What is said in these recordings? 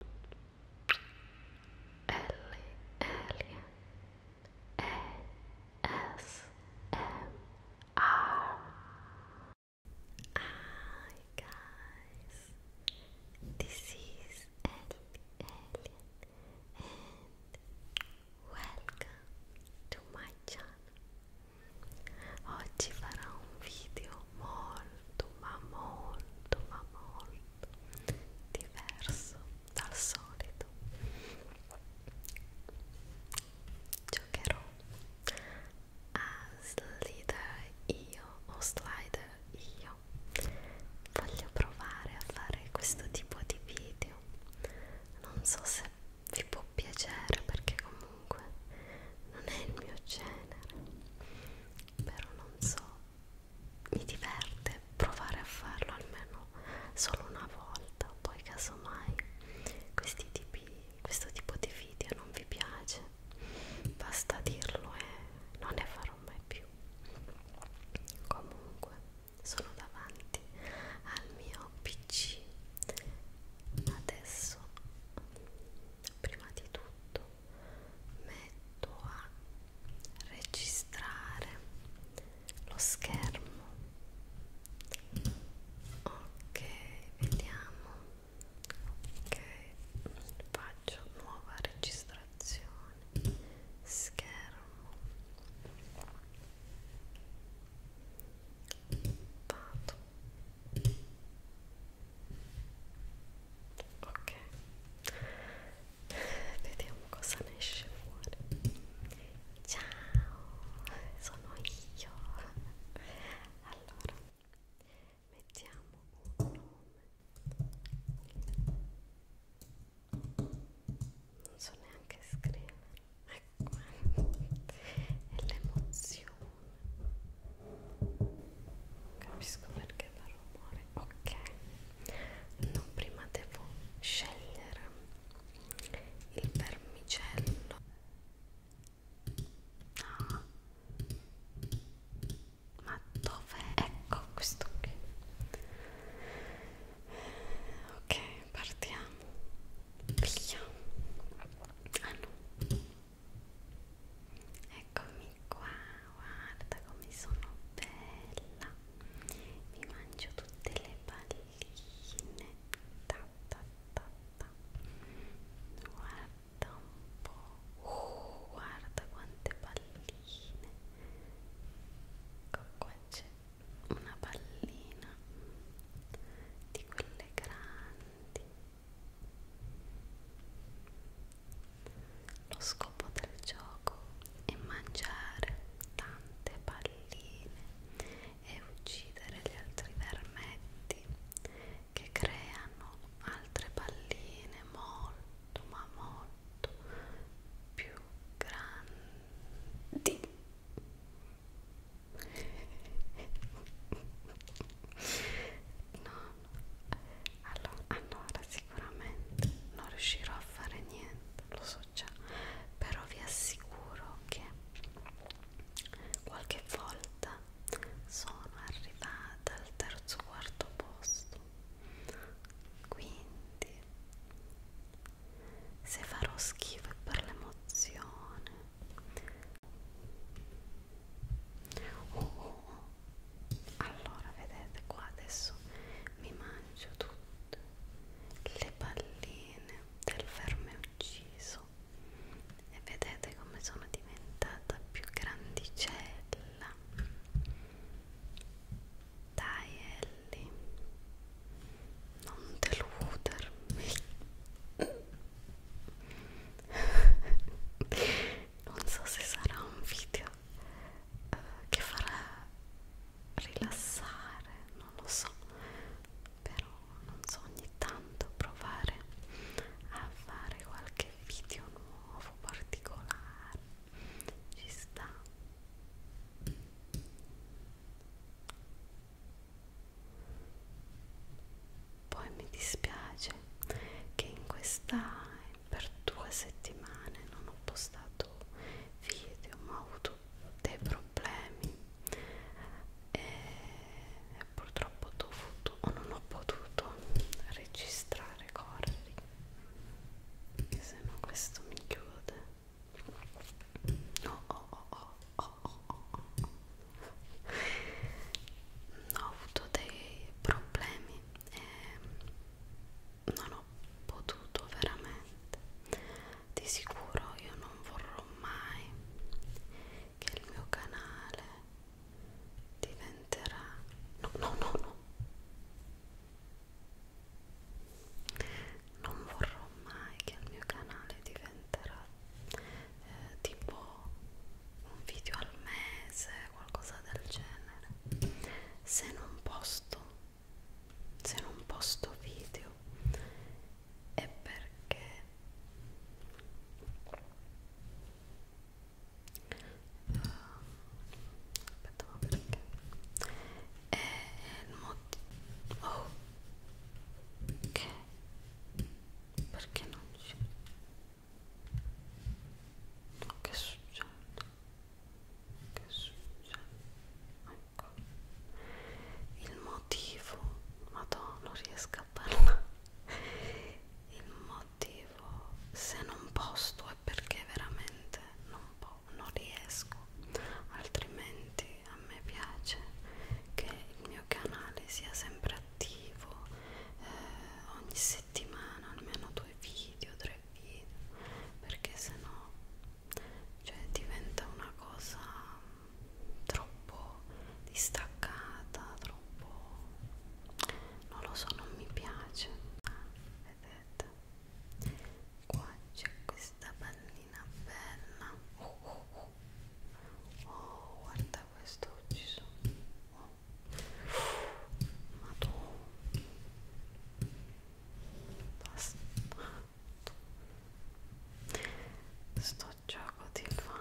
Hi guys, this is Ellie Alien and welcome to my Oggi farò un video molto ma molto ma molto diverso dal solito giocherò a slider io o slider io voglio provare a fare questo tipo di video non so se vi può piacere perché comunque non è il mio genere però non so mi diverte provare a farlo almeno solo una volta poi casomai questi tipi, questo tipo di video non vi piace basta dirlo e non ne farò mai più comunque sono davanti al mio pc adesso prima di tutto metto a registrare lo schermo ok vediamo ok faccio nuova registrazione schermo vado ok vediamo cosa ne esce fuori ciao sono io allora mettiamo un nome non so neanche scrivere ecco e l'emozione capisco perché fa rumore ok no prima devo scegliere il vermicello no ma dove ecco questo qui ok partiamo via ah no Eccomi qua, guarda come sono bella. Mi mangio tutte le palline. Ta, ta, ta, ta. Guarda un po'. Uh, guarda quante palline. Ecco qua c'è una pallina di quelle grandi lo scopo del gioco è mangiare tante palline e uccidere gli altri vermetti che creano altre palline molto ma molto più grandi no allora, allora sicuramente non riuscirò a fare niente lo so già però vi assicuro che qualche volta sono arrivata al terzo quarto posto quindi se farò schifo per l'emozione Oh, oh, oh. Allora, vedete qua adesso mi mangio tutte le palline del verme ucciso e vedete come sono diventata più grandicella. Dai Ellie, non deludermi non so se sarà un video uh, che farà rilassare non lo so però non so ogni tanto provare a fare qualche video nuovo particolare ci sta poi mi dispiace che in questa per due settimane non ho postato video, ma ho avuto dei problemi e purtroppo ho dovuto o non ho potuto registrare corri, se no questo mi chiude. No, oh, oh, oh, oh, oh, oh, oh ho avuto dei problemi e non ho potuto veramente di sicuro io non vorrò mai che il mio canale diventerà no no no no non vorrò mai che il mio canale diventerà eh, tipo un video al mese, qualcosa del genere. Se non posto, se non posto video è perché uh, aspetta ma perché è il motivo oh. che perché non ci che succede? Che succede? Ecco il motivo, madonna, non riesco a parlare. Il motivo se non posto è perché veramente non, non riesco, altrimenti a me piace che il mio mio canale sia sempre attivo eh, ogni settimana almeno due video, tre video perché sennò cioè, diventa una cosa troppo distaccata, troppo non lo so, non mi piace ah, vedete qua c'è questa pallina bella oh, oh, oh. oh guarda questo ucciso oh, ma tu sto gioco ti fa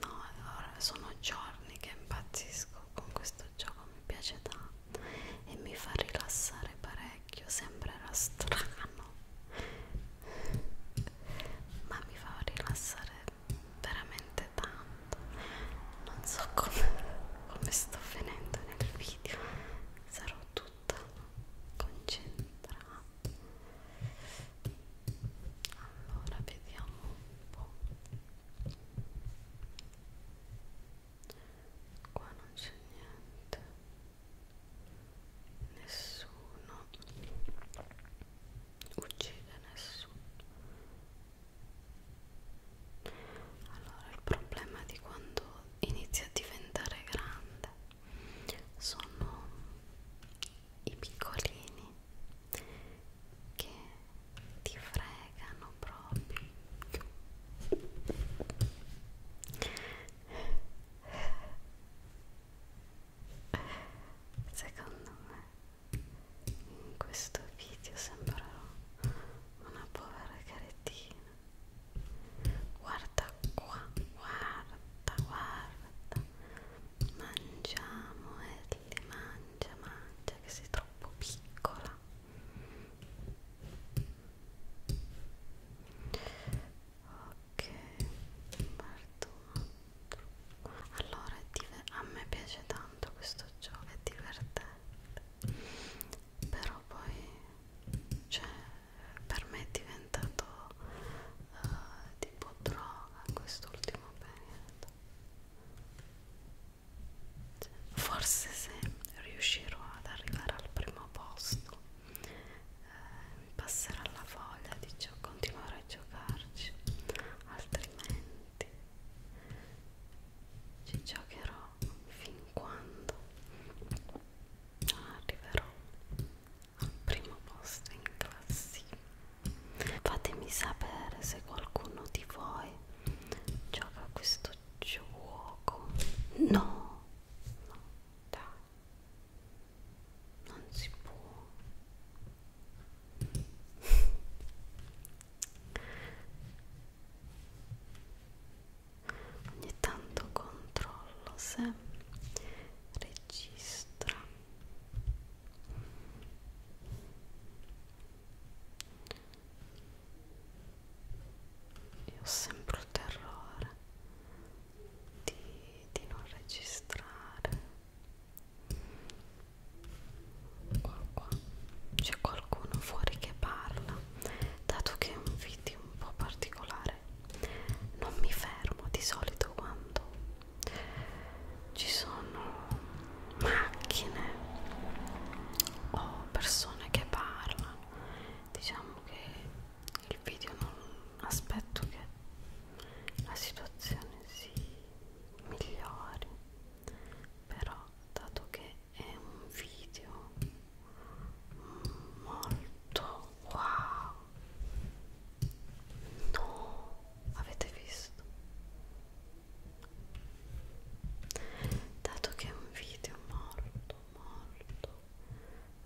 no allora sono giorni che impazzisco con questo gioco mi piace tanto e mi fa rilassare parecchio sembrerà strano ma mi fa rilassare veramente tanto non so come, come sto finendo nel video sarò tutta concentrata allora vediamo un po' qua non c'è niente nessuno uccide nessuno allora il problema di quando inizia a diventare grande sono i piccolini che ti fregano proprio secondo me in questo video sembrerò una povera carettina guarda qua guarda guarda mangiamo Ellie mangia mangia che sei troppo piccola ok Bartolo allora a me piace tanto questo gioco è divertente però poi cioè, per me è diventato uh, tipo droga quest'ultimo periodo cioè, forse se riuscirò ad arrivare al primo posto eh, passerà la voglia di gio continuare a giocarci altrimenti ci giocherò fin quando non arriverò al primo posto in classifica fatemi sapere se qualcuno di voi gioca a questo gioco no no dai non si può ogni tanto controllo se registra io ho sempre il terrore di, di non registrare Qua, qua. C'è qualcuno fuori che parla. Dato che è un video un po' particolare, non mi fermo di solito quando ci sono macchine o persone che parlano. Diciamo che il video non aspetto che la situazione si migliori però dato che è un video molto wow no avete visto dato che è un video molto molto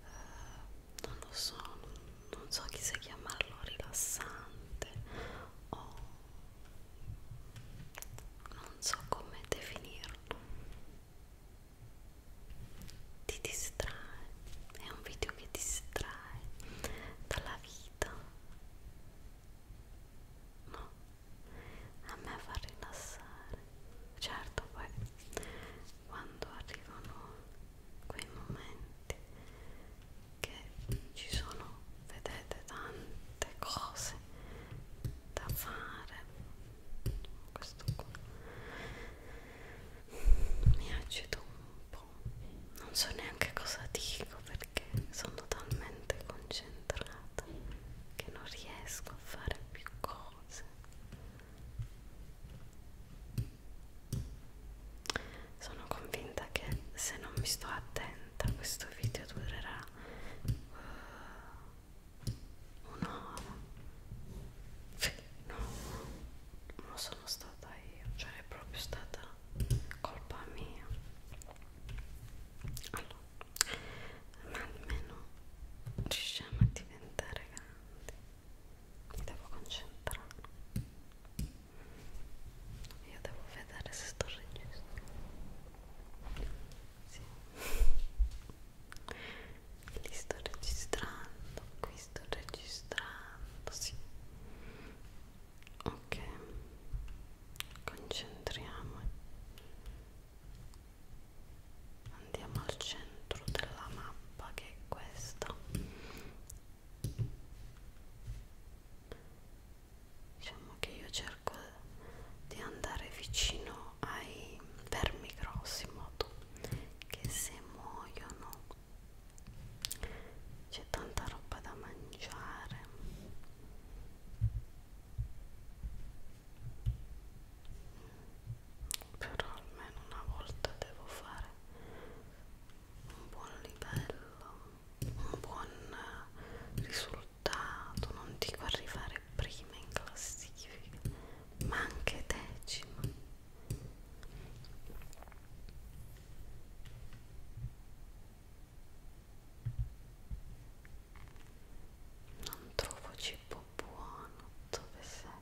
eh, non lo so non, non so chi se chiamarlo rilassante o non so come definirlo ti distrae è un video che distrae dalla vita no a me fa rilassare certo poi quando arrivano quei momenti che ci sono, vedete, tante cose da fare. Questo qua mi agito un po', non so neanche cosa dico perché sono talmente concentrata che non riesco a fare più cose. Sono convinta che se non mi sto attenta questo video durerà uh, un'ora. No, non sono stata io, cioè è proprio stata colpa mia. Allora, ma almeno riusciamo a diventare grandi mi devo concentrare io devo vedere se sto registrando sì. li sto registrando qui sto registrando sì ok concentriamo andiamo al centro della mappa che è questa diciamo che io cerco di andare vicino ai vermi grossi in modo che se muoiono c'è tanta roba da mangiare però almeno una volta devo fare un buon livello, un buon risultato, non dico arrivare prima in classifica, ma anche decima. Non trovo cibo buono, dove sei?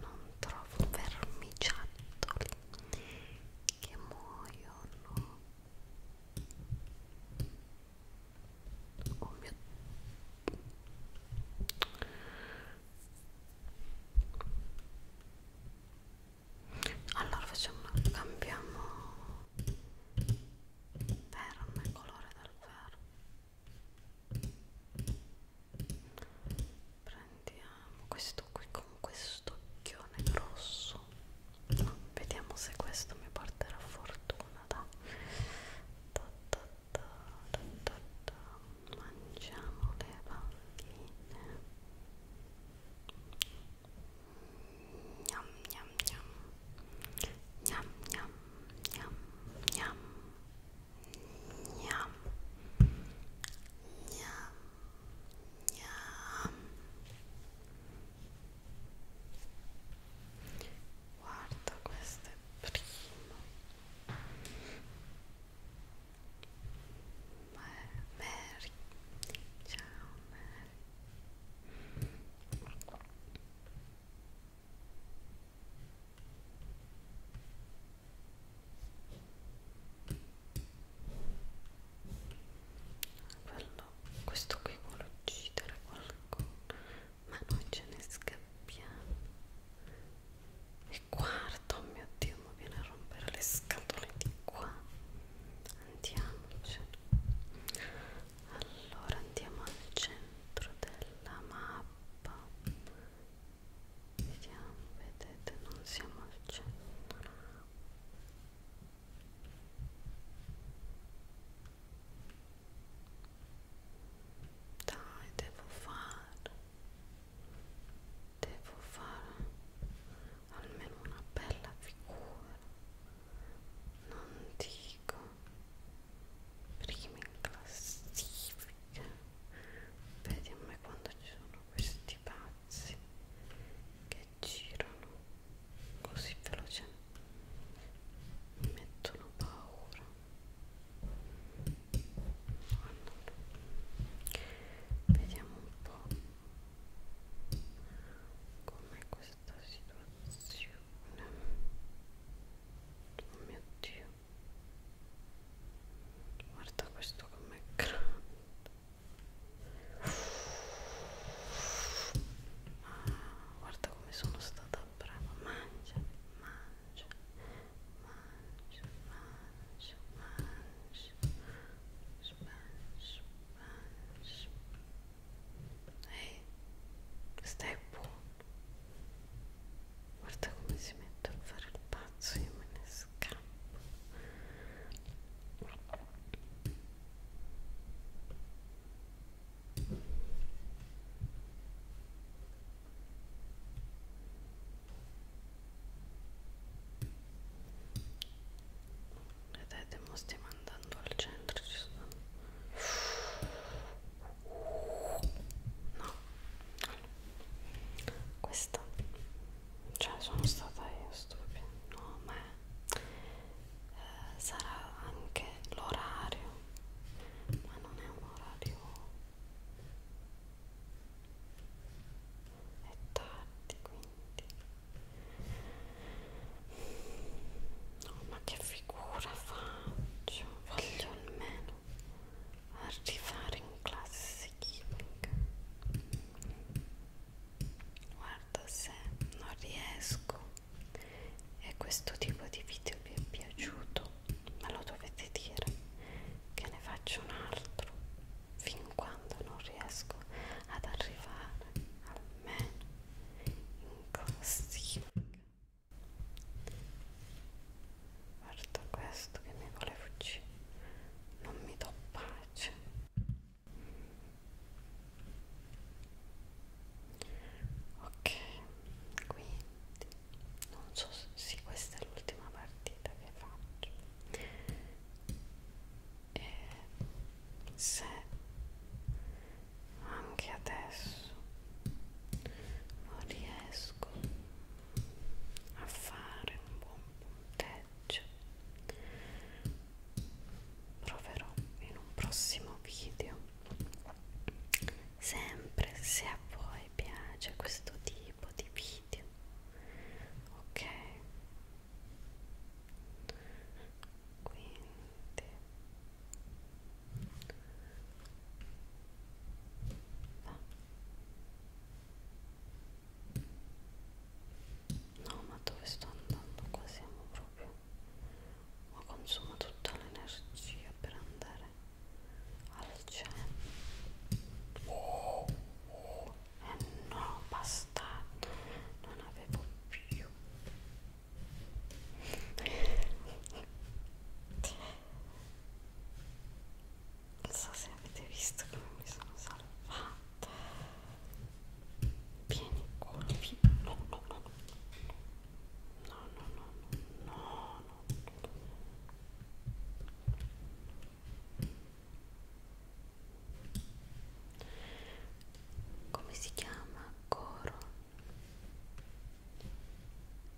non trovo vermiciattoli che muoiono oh mio allora facciamo cambiamo verme colore del verme prendiamo questo qui con questo occhione grosso vediamo se questo mi porterà fortuna da, da, da, da, da, da, da. mangiamo le palline Gnam gnam gnam gnam gnam gnam gnam Gnam. Gnam. Gnam. Guarda questo è primo Mary ciao Mary quello, questo qui vuole uccidere qualcuno, ma noi ce ne scappiamo. E guarda, oh mio Dio, mi viene a rompere le scatole di qua. Andiamocene. Allora andiamo al centro della mappa vediamo vedete non siamo al centro dai devo fare devo fare almeno una bella figura non dico prima in classifica vedi a me quando ci sono questi pazzi che girano così veloce mi mettono paura allora, vediamo un po' com'è questa situazione oh mio dio guarda questo com'è grande ah, guarda come sono stata brava mangia mangia mangia mangia mangia smash smash ehi hey, stai buono guarda come si mette a fare il pazzo io me ne scappo vedete mo stiamo andando al centro ci sono no questa cioè sono stata io stupida no ma è, eh, sarà anche l'orario ma non è un orario è tardi quindi no ma che figura faccio voglio almeno arrivare in classe chimica guarda se non riesco e questo tipo di video vi è piaciuto me lo dovete dire che ne faccio un altro fin quando non riesco ad arrivare almeno in classifica Guarda questo che mi vuole fuggire, non mi do pace. Ok, quindi non so se sì, questa è l'ultima partita che faccio. E se anche adesso non riesco a fare un buon punteggio proverò in un prossimo video sempre se a voi piace questo tipo di video ok quindi No, ma dove sto andando? Qua siamo proprio. Ma consuma tutta l'energia per andare al centro. Oh, oh, eh no, basta. Non avevo più non so se avete visto come mi sono salvata pieni colpi no no no no no no no no no come si chiama coro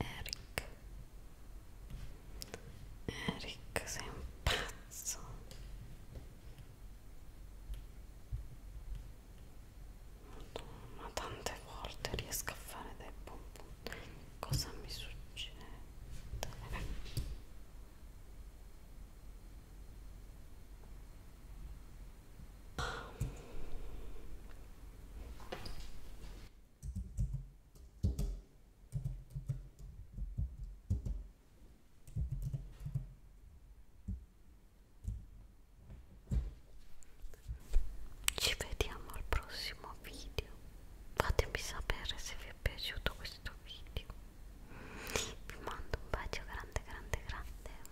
Eric Eric sei un pazzo ma tante volte riesco a fare dei pom pom cosa mi succede? Ci vediamo al prossimo video. Fatemi sapere se vi è piaciuto questo video. Vi mando un bacio grande, grande, grande.